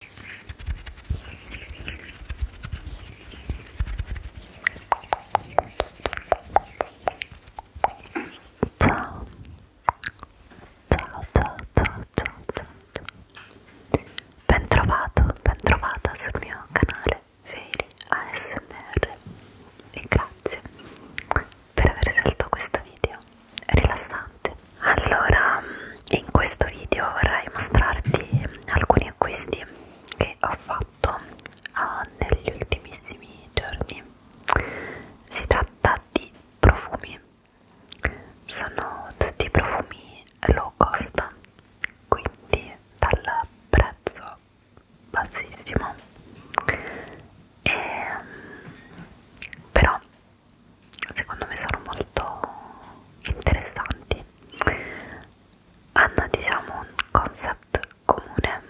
Ciao. Ciao, ciao, ciao, ciao, ciao, ben trovato, ben trovata sul mio canale Feli ASMR e grazie per aver scelto questo video rilassante allora in questo video vorrei mostrarti alcuni acquisti che ho fatto uh, negli ultimissimi giorni si tratta di profumi sono tutti profumi low cost quindi dal prezzo bassissimo e, ehm, però secondo me sono molto interessanti hanno diciamo un concept comune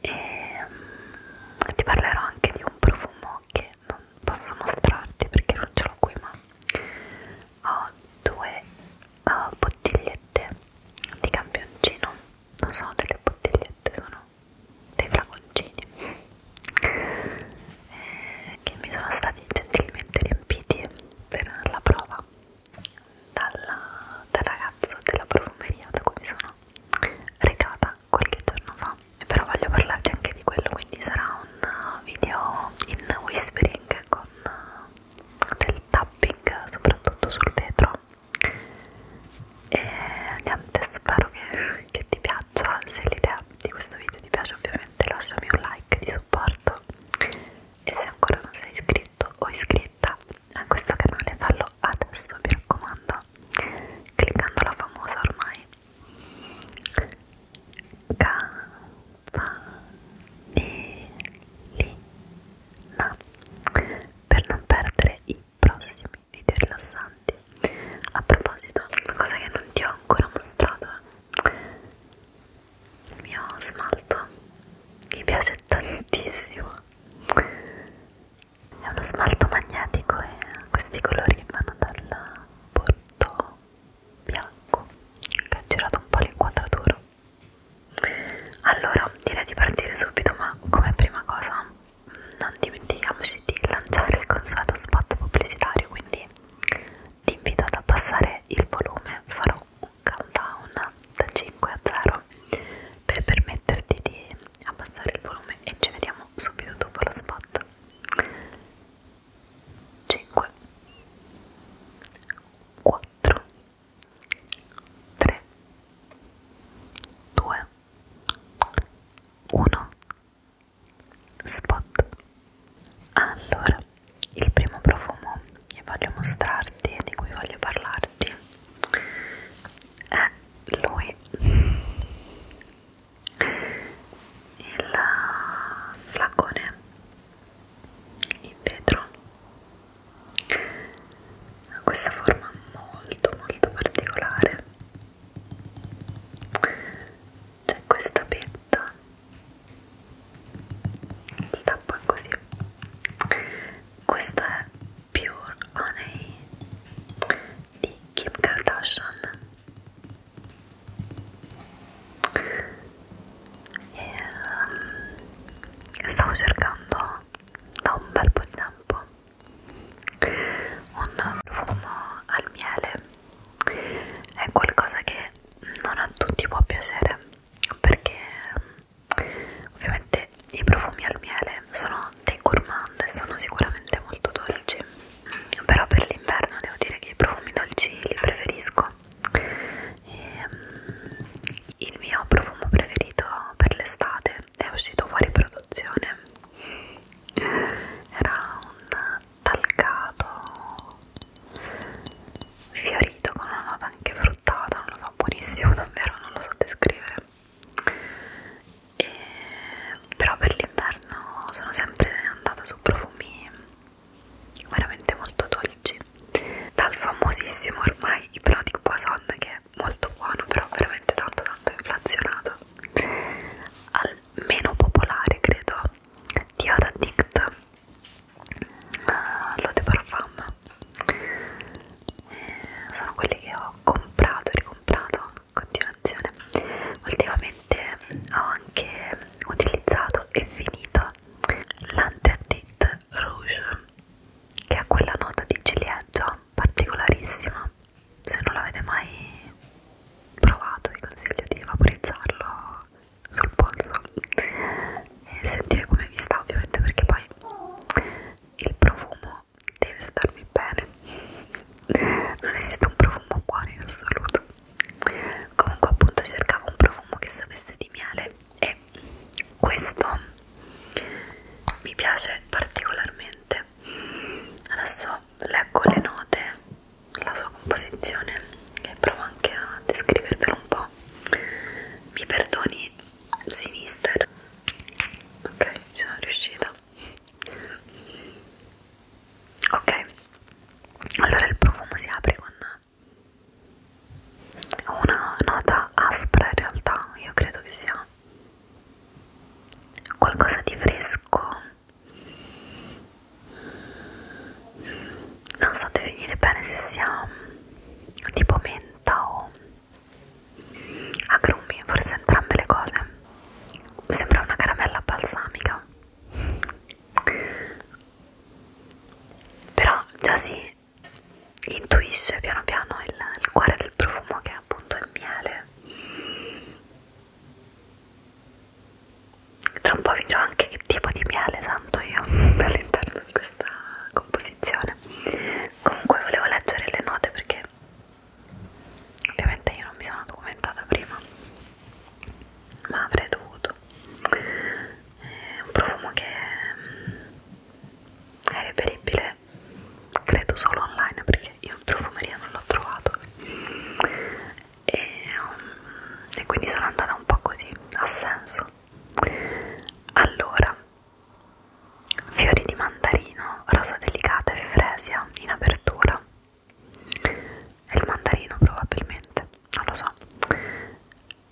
e mm, ti parlerò anche di un profumo che non posso mostrarti perché non ce l'ho qui ma ho due uh, bottigliette di campioncino non sono delle bottigliette sono dei flaconcini eh, che mi sono stati gentilmente riempiti per la prova dalla, dal ragazzo della profumeria da cui mi sono recata qualche giorno fa e però voglio parlarti anche di quello quindi sarà un video in whispering con del tapping soprattutto sul vetro e niente spero che che ti piaccia, se l'idea di questo video ti piace ovviamente lasciami un like di supporto e se ancora non sei iscritto o iscritta a questo canale fallo adesso mi raccomando cliccando la famosa ormai campanellina per non perdere i prossimi programmi video rilassanti a proposito una cosa che non ti ho ancora mostrato il mio smalto mi piace tantissimo è uno smalto magnetico e ha questi colori che vanno dal bordo bianco che ha girato un po' l'inquadratura allora direi di partire subito ma come prima cosa non dimentichiamoci di lanciare il consueto spot pubblicitario quindi ti invito ad abbassare il volume farò un countdown da 5 a 0 per permetterti di abbassare il volume e ci vediamo subito dopo lo spot 5 4 3 2 1 spot allora il primo profumo che voglio mostrarti e di cui voglio parlarti è lui il flacone in vetro ha questa forma molto molto particolare c'è questa petta si tappa così questo è Pure Honey di Kim Kardashian e, um, stavo cercando da un bel po' di tempo un profumo al miele è qualcosa che non a tutti può piacere perché mm, ovviamente i profumi al miele sono dei gourmand e sono sicuramente molto dolci mm, però per l'inverno devo dire che i profumi dolci li preferisco e, um, il mio profumo preferito per l'estate è uscito fuori per soluzione era un talcato fiorito con una nota anche fruttata non lo so buonissimo davvero non lo so descrivere e, però per l'inverno sono sempre andata su profumi veramente molto dolci dal famosissimo ormai iprotic poison che è molto buono però veramente tanto tanto inflazionato al meno popolare credo di Addict uh, ah, lo de Parfum eh, sono quelli che ho comprato e ricomprato in continuazione ultimamente ho anche utilizzato e finito l'Anterdit Rouge che ha quella nota di ciliegia particolarissima se non l'avete mai provato vi consiglio di vaporizzarlo sul polso e sentire come vi sta ovviamente perché poi il profumo deve starvi bene non esiste un profumo buono in assoluto comunque appunto cercavo un profumo che sapesse di miele e questo mi piace particolarmente bene adesso leggo le note la sua composizione e provo anche a descrivervelo un po' mi perdoni sinister ok ci sono riuscita ok allora il profumo si apre con una nota aspra in realtà io credo che sia ma qualcosa di fresco non so definire bene se sia mm, tipo menta o agrumi forse entrambe le cose sembra una caramella balsamica però già si intuisce piano piano il, il cuore del profumo che è appunto il miele tra un po' vi dirò anche che tipo di miele santo io all'interno di questa composizione comunque volevo leggere le note perché ovviamente io non mi sono documentata prima ma avrei dovuto è un profumo che è reperibile che credo solo online perché io in profumeria non l'ho trovato e, um, e quindi sono andata un po' così a senso allora fiori di mandarino rosa delicata e fresia in apertura e il mandarino probabilmente non lo so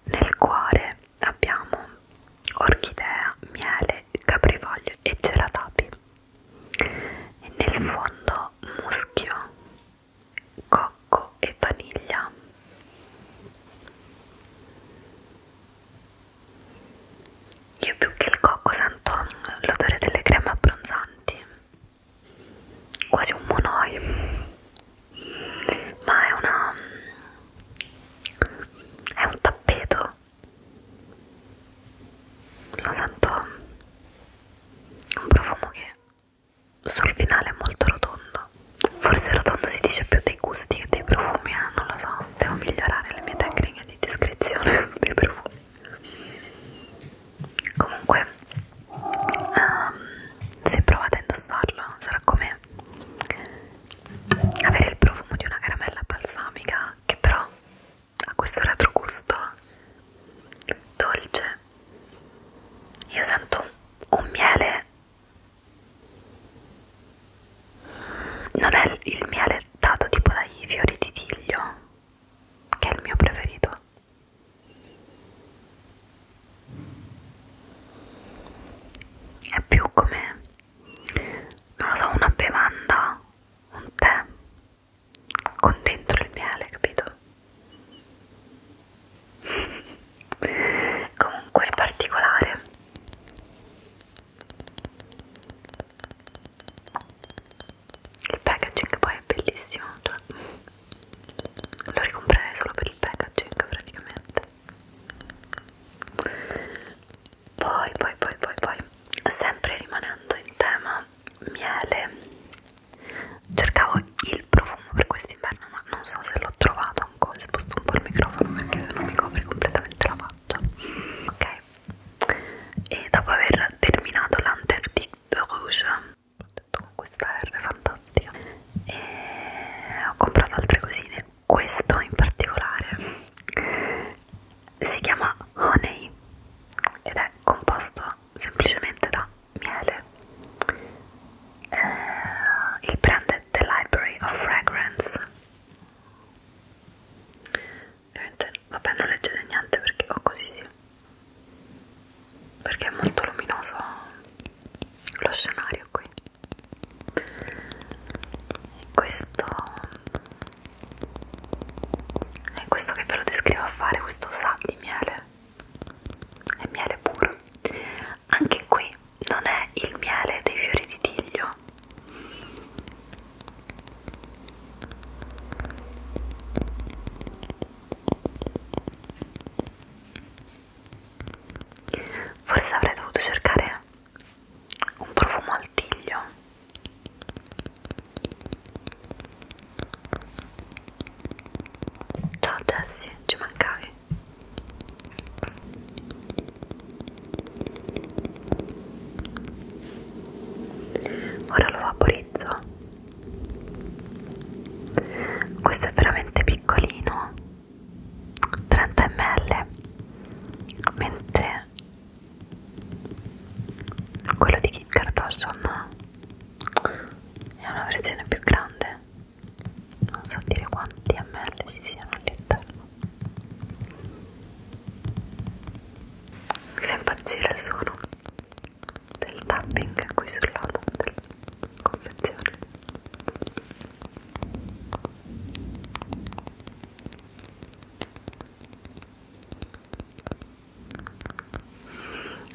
nel cuore abbiamo orchidea, miele, caprivoglio e ceratapi e nel fondo muschio, cocco e vaniglia io più che il cocco sento l'odore delle creme abbronzanti quasi un monoi ma è una è un tappeto lo sento un profumo che sul finale è molto rotondo forse rotondo si dice più dei gusti che dei profumi eh? non lo so devo migliorare le mie tecniche di descrizione dei profumi comunque um, se provate a indossarlo sarà come avere il profumo di una caramella balsamica che però ha questo retrogusto dolce io sento un miele non è il miele dato tipo dai fiori di tiglio che è il mio preferito è più come non lo so, una bevanda, un tè con dentro il miele, capito? Comunque il particolare il packaging poi è bellissimo, cioè lo ricomprerei solo per il packaging praticamente poi poi poi poi poi sempre rimanendo in tema miele cercavo il profumo per quest'inverno ma non so se l'ho trovato ancora sposto un po' il microfono perché se no mi copre completamente la faccia ok e dopo aver terminato l'anterdi rouge ho detto con oh, questa R fantastica e ho comprato altre cosine questo in particolare si chiama honey ed è composto semplicemente da miele eh, il brand è The Library of Fragrance ovviamente vabbè non leggete niente perché ho così sì perché è molto luminoso lo scenario qui questo è questo che ve lo descrivo a fare questo sal di miele è miele puro anche qui non è il miele dei fiori di tiglio forse avrei dovuto cercare un profumo al tiglio ciao Jessie ci mancavi ora lo vaporizzo questo è veramente piccolino 30 ml mentre quello di Kit Kardashian è una versione più grande non so dire quanti ml ci siano all'interno mi fa impazzire il suono del tapping qui sul lato della confezione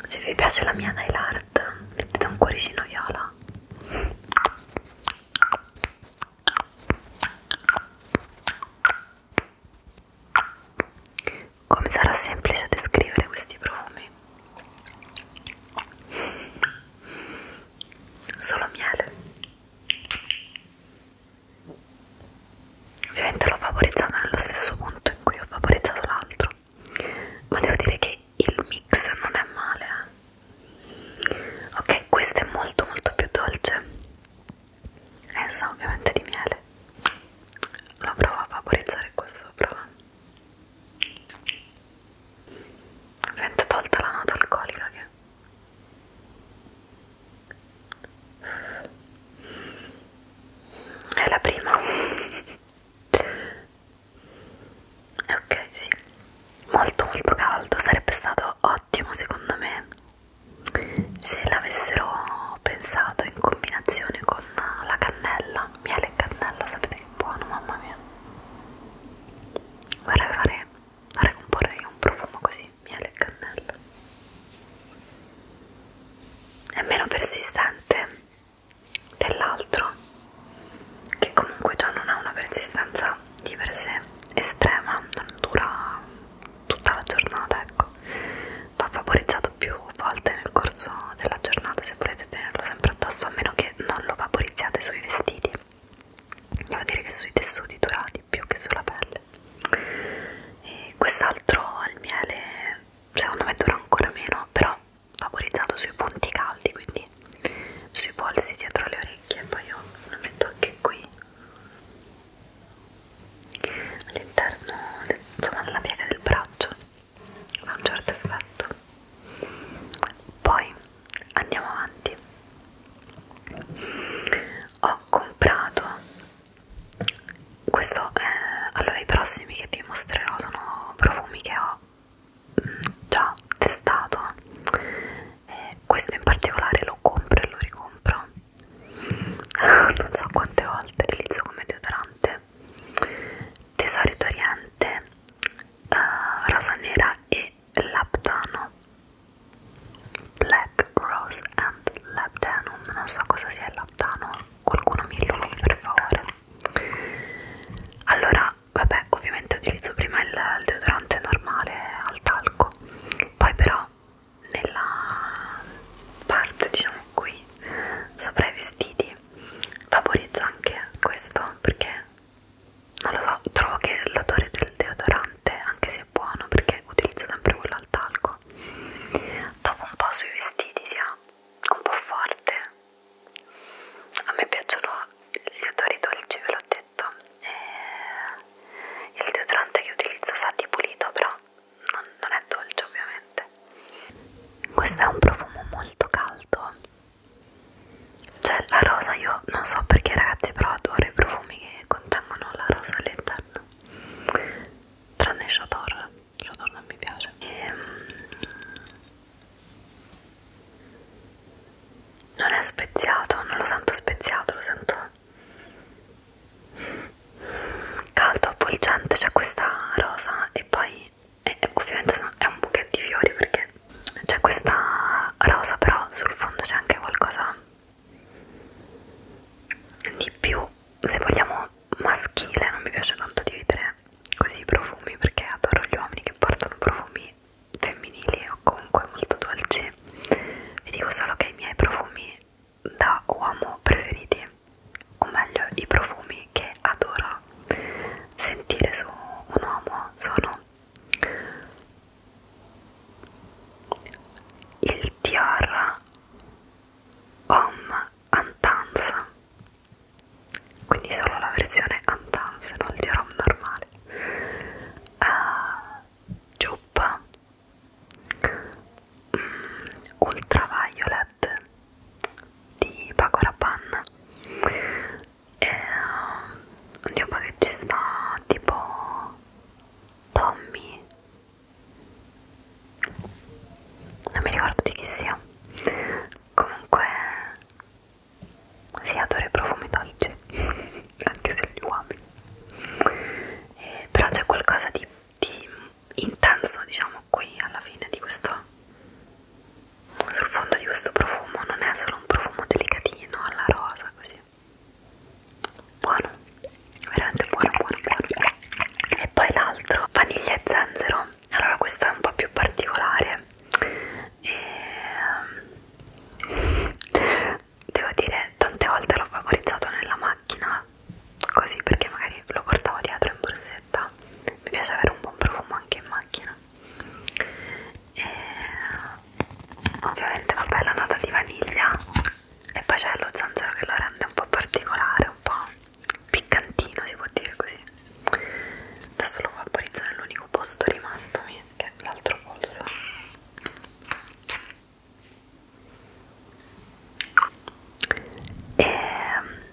se vi piace la mia nail art, mettete un cuoricino viola. Come sarà semplice descrivere questi profumi? solo miele ovviamente l'ho favorizzato nello stesso punto in cui ho favorizzato l'altro ma devo dire che il mix non è male eh? ok questo è molto molto più dolce e sa ovviamente di miele lo provo a vaporizzare qua sopra Ovviamente tolta la nota alcolica che... È la prima. ok, sì. Molto molto caldo. Sarebbe stato ottimo secondo me se l'avessero pensato in combinazione con la cannella. Miele e cannella, sapete che buono, mamma mia vorrei provare a ricomporre io un profumo così, miele e cannella è meno persistente dell'altro che comunque già non ha una persistenza di per sé estrema non dura tutta la giornata ecco va vaporizzato più volte nel corso della giornata se volete tenerlo sempre addosso a meno che non lo vaporizziate sui vestiti andiamo a dire che sui tessuti dura di più che sulla pelle e quest'altro al miele secondo me dura ancora meno però favorizzato sui punti caldi quindi sui polsi dietro le orecchie poi io lo metto anche qui all'interno insomma nella piega del braccio ha un certo effetto poi andiamo avanti ho comprato questo eh, allora i prossimi che vi mostrerò sono profumi che ho mm, già testato eh, questo in particolare lo compro e lo ricompro non so quante volte utilizzo come deodorante tesori d'oriente uh, rosa nera e laptano black rose and laptanum non so cosa sia il laptano qualcuno mi illumini per favore allora vabbè ovviamente utilizzo prima il, il deodorante normale al talco poi però nella parte diciamo qui sopra i vestiti vaporizzo anche questo perché non lo so, trovo che l'odore del deodorante anche se è buono perché utilizzo sempre quello al talco dopo un po' sui vestiti sia un po' forte a me piacciono gli odori dolci ve l'ho detto e il deodorante che utilizzo sa di pulito però non, non è dolce ovviamente questo è un profumo molto caldo c'è cioè, la rosa, io non so perché ragazzi, però adoro i profumi che contengono la rosa all'interno. Tranne Shador, Shador non mi piace. E, ehm, non è speziato, non lo sento speziato, lo sento caldo, avvolgente, c'è questa rosa e poi fiori e, e ovviamente sono, è un bouquet di fiori perché c'è questa rosa però sul fondo c'è anche qualcosa di più se vogliamo maschile non mi piace tanto dividere così i profumi perché adoro gli uomini che portano profumi femminili o comunque molto dolci vi dico solo che i miei profumi da uomo preferiti o meglio i profumi che adoro da sentire su un uomo sono il Dior Homme Antance quindi solo la versione Antance, non il Dior Homme normale uh, eh, giubba mm, ultraviolet set di Paco Rabanne e um, oddio ma che ci sta tipo Tommy non mi ricordo di chi sia comunque si adora i profumi dolci anche se li uomini eh, però c'è qualcosa di, di intenso diciamo siamo qui alla fine di questo sul fondo di questo profumo non è solo un profumo delicatino alla rosa così buono veramente buono buono buono e poi l'altro vaniglia e zenzero allora questo è un po' più particolare e ehm, devo dire tante volte l'ho favorizzato nella macchina così perché magari lo portavo dietro in borsa sigaretta mi piace avere un buon profumo anche in macchina e ovviamente vabbè la nota di vaniglia e poi c'è lo zanzaro che lo rende un po' particolare un po' piccantino si può dire così adesso lo vaporizzo nell'unico posto rimasto mio, che è l'altro polso e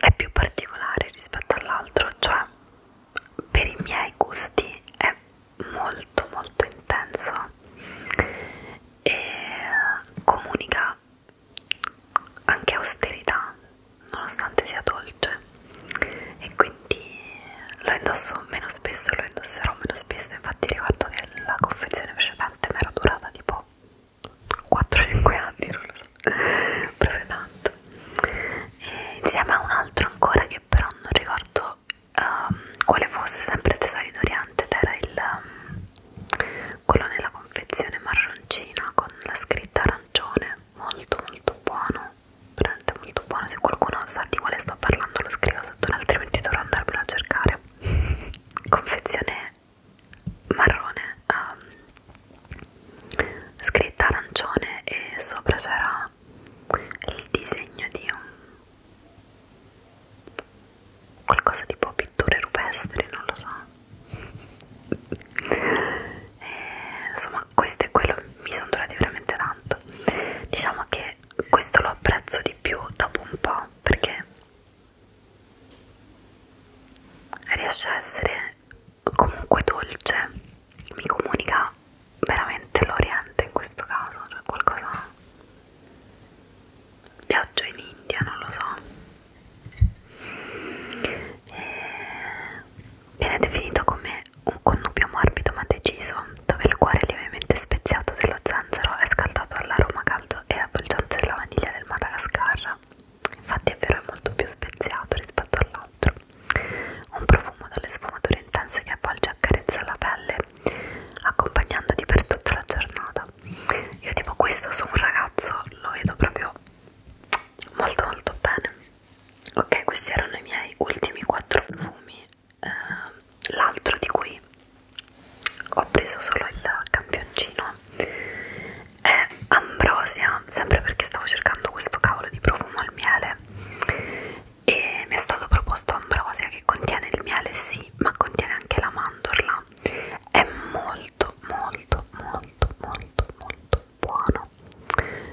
è più particolare rispetto all'altro, cioè per i miei gusti è molto molto intenso e comunica anche austerità nonostante sia dolce e quindi lo indosso meno spesso lo indosserò meno spesso infatti ricordo che la confezione precedente mi era durata tipo 4-5 anni, non lo so, proprio tanto. E insieme a un altro ancora che però non ricordo um, quale fosse, sempre Tesori d'Oriente, ed era il, um, ehm, quello nella confezione marroncina con la scritta arancione, molto molto buono, veramente molto buono. Se qualcuno sa di quale sto parlando lo scrivo sotto, altrimenti dovrò andarmelo a cercare. confezione marrone um, scritta arancione e sopra c'era il disegno di un qualcosa tipo pitture rupestri non lo so e, insomma questo è quello mi sono durati veramente tanto diciamo che questo lo apprezzo di più dopo un po' perché riesce a essere comunque dolce, mi comunica veramente l'Oriente in questo caso, cioè qualcosa viaggio in India, non lo so. E... Viene definito come un connubio morbido ma deciso, dove il cuore lievemente speziato dello zanzaro è scaldato all'aroma caldo e avvolgente della vaniglia del Madagascar infatti è vero è molto più speziato rispetto all'altro un profumo dalle sfumature intense che avvolge e accarezza la pelle accompagnandoti per tutta la giornata io tipo questo su un ragazzo lo vedo proprio molto molto bene ok questi erano i miei ultimi quattro profumi eh, l'altro di cui ho preso solo il campioncino è ambrosia sempre perché stavo cercando questo cavolo di profumo al miele e mi è stato proposto ambrosia che contiene il miele sì ma contiene anche la mandorla è molto molto molto molto molto buono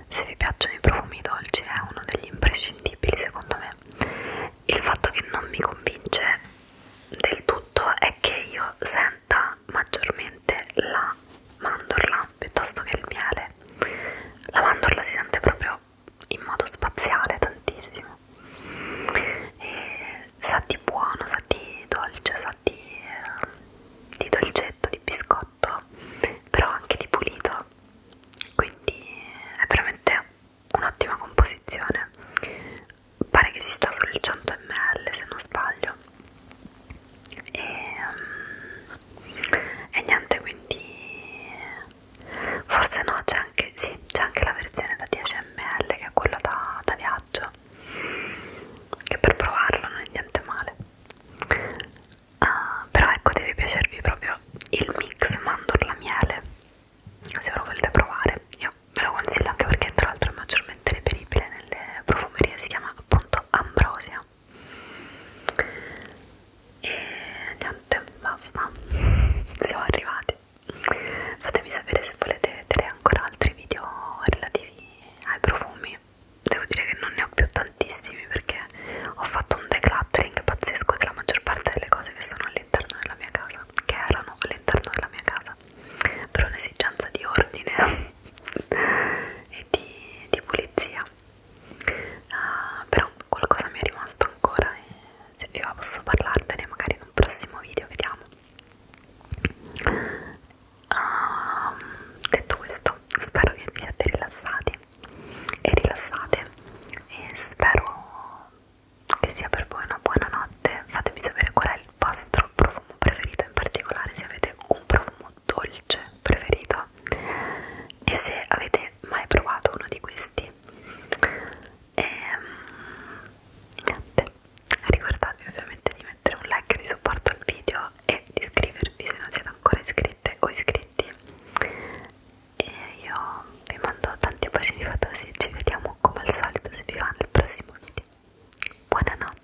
se vi piacciono i profumi dolci è uno degli imprescindibili secondo me il fatto che non mi convince del tutto è che io senta maggiormente la mandorla piuttosto che il miele. La mandorla si sente proprio in modo spaziale tantissimo. E sa di buono, sa di dolce, sa di, eh, di dolcetto, di biscotto, però anche di pulito. Quindi è veramente un'ottima composizione pare che si sta sugli 100 ml se non sbaglio e, um, e niente quindi forse no c'è anche sì c'è anche la versione da 10 ml che è quella da, da viaggio che per provarlo non è niente male uh, però ecco deve piacervi proprio il mix mandorla miele se ve lo volete provare io ve lo consiglio anche perché tra l'altro è maggiormente reperibile nelle profumerie si chiama appunto ambrosia e niente basta siamo arrivati fatemi sapere se volete vedere ancora altri video relativi ai profumi devo dire che non ne ho più tantissimi perché ho fatto un decluttering pazzesco della maggior parte delle cose che sono all'interno della mia casa che erano all'interno della mia casa per un'esigenza di ordine e di, di pulizia uh, però qualcosa mi è rimasto ancora e se vi va posso parlarvene magari in un prossimo video vediamo uh, detto questo spero che vi siate rilassati e rilassate e spero che sia per voi una buona notte fatemi sapere qual è il vostro profumo preferito in particolare se avete un profumo dolce preferito e se avete mai provato uno di questi e ehm, niente ricordatevi ovviamente di mettere un like di supporto al video e di iscrivervi se non siete ancora iscritte o iscritti e io vi mando tanti bacini fatosi e ci vediamo vediamo come al solito si vi va nel prossimo video buonanotte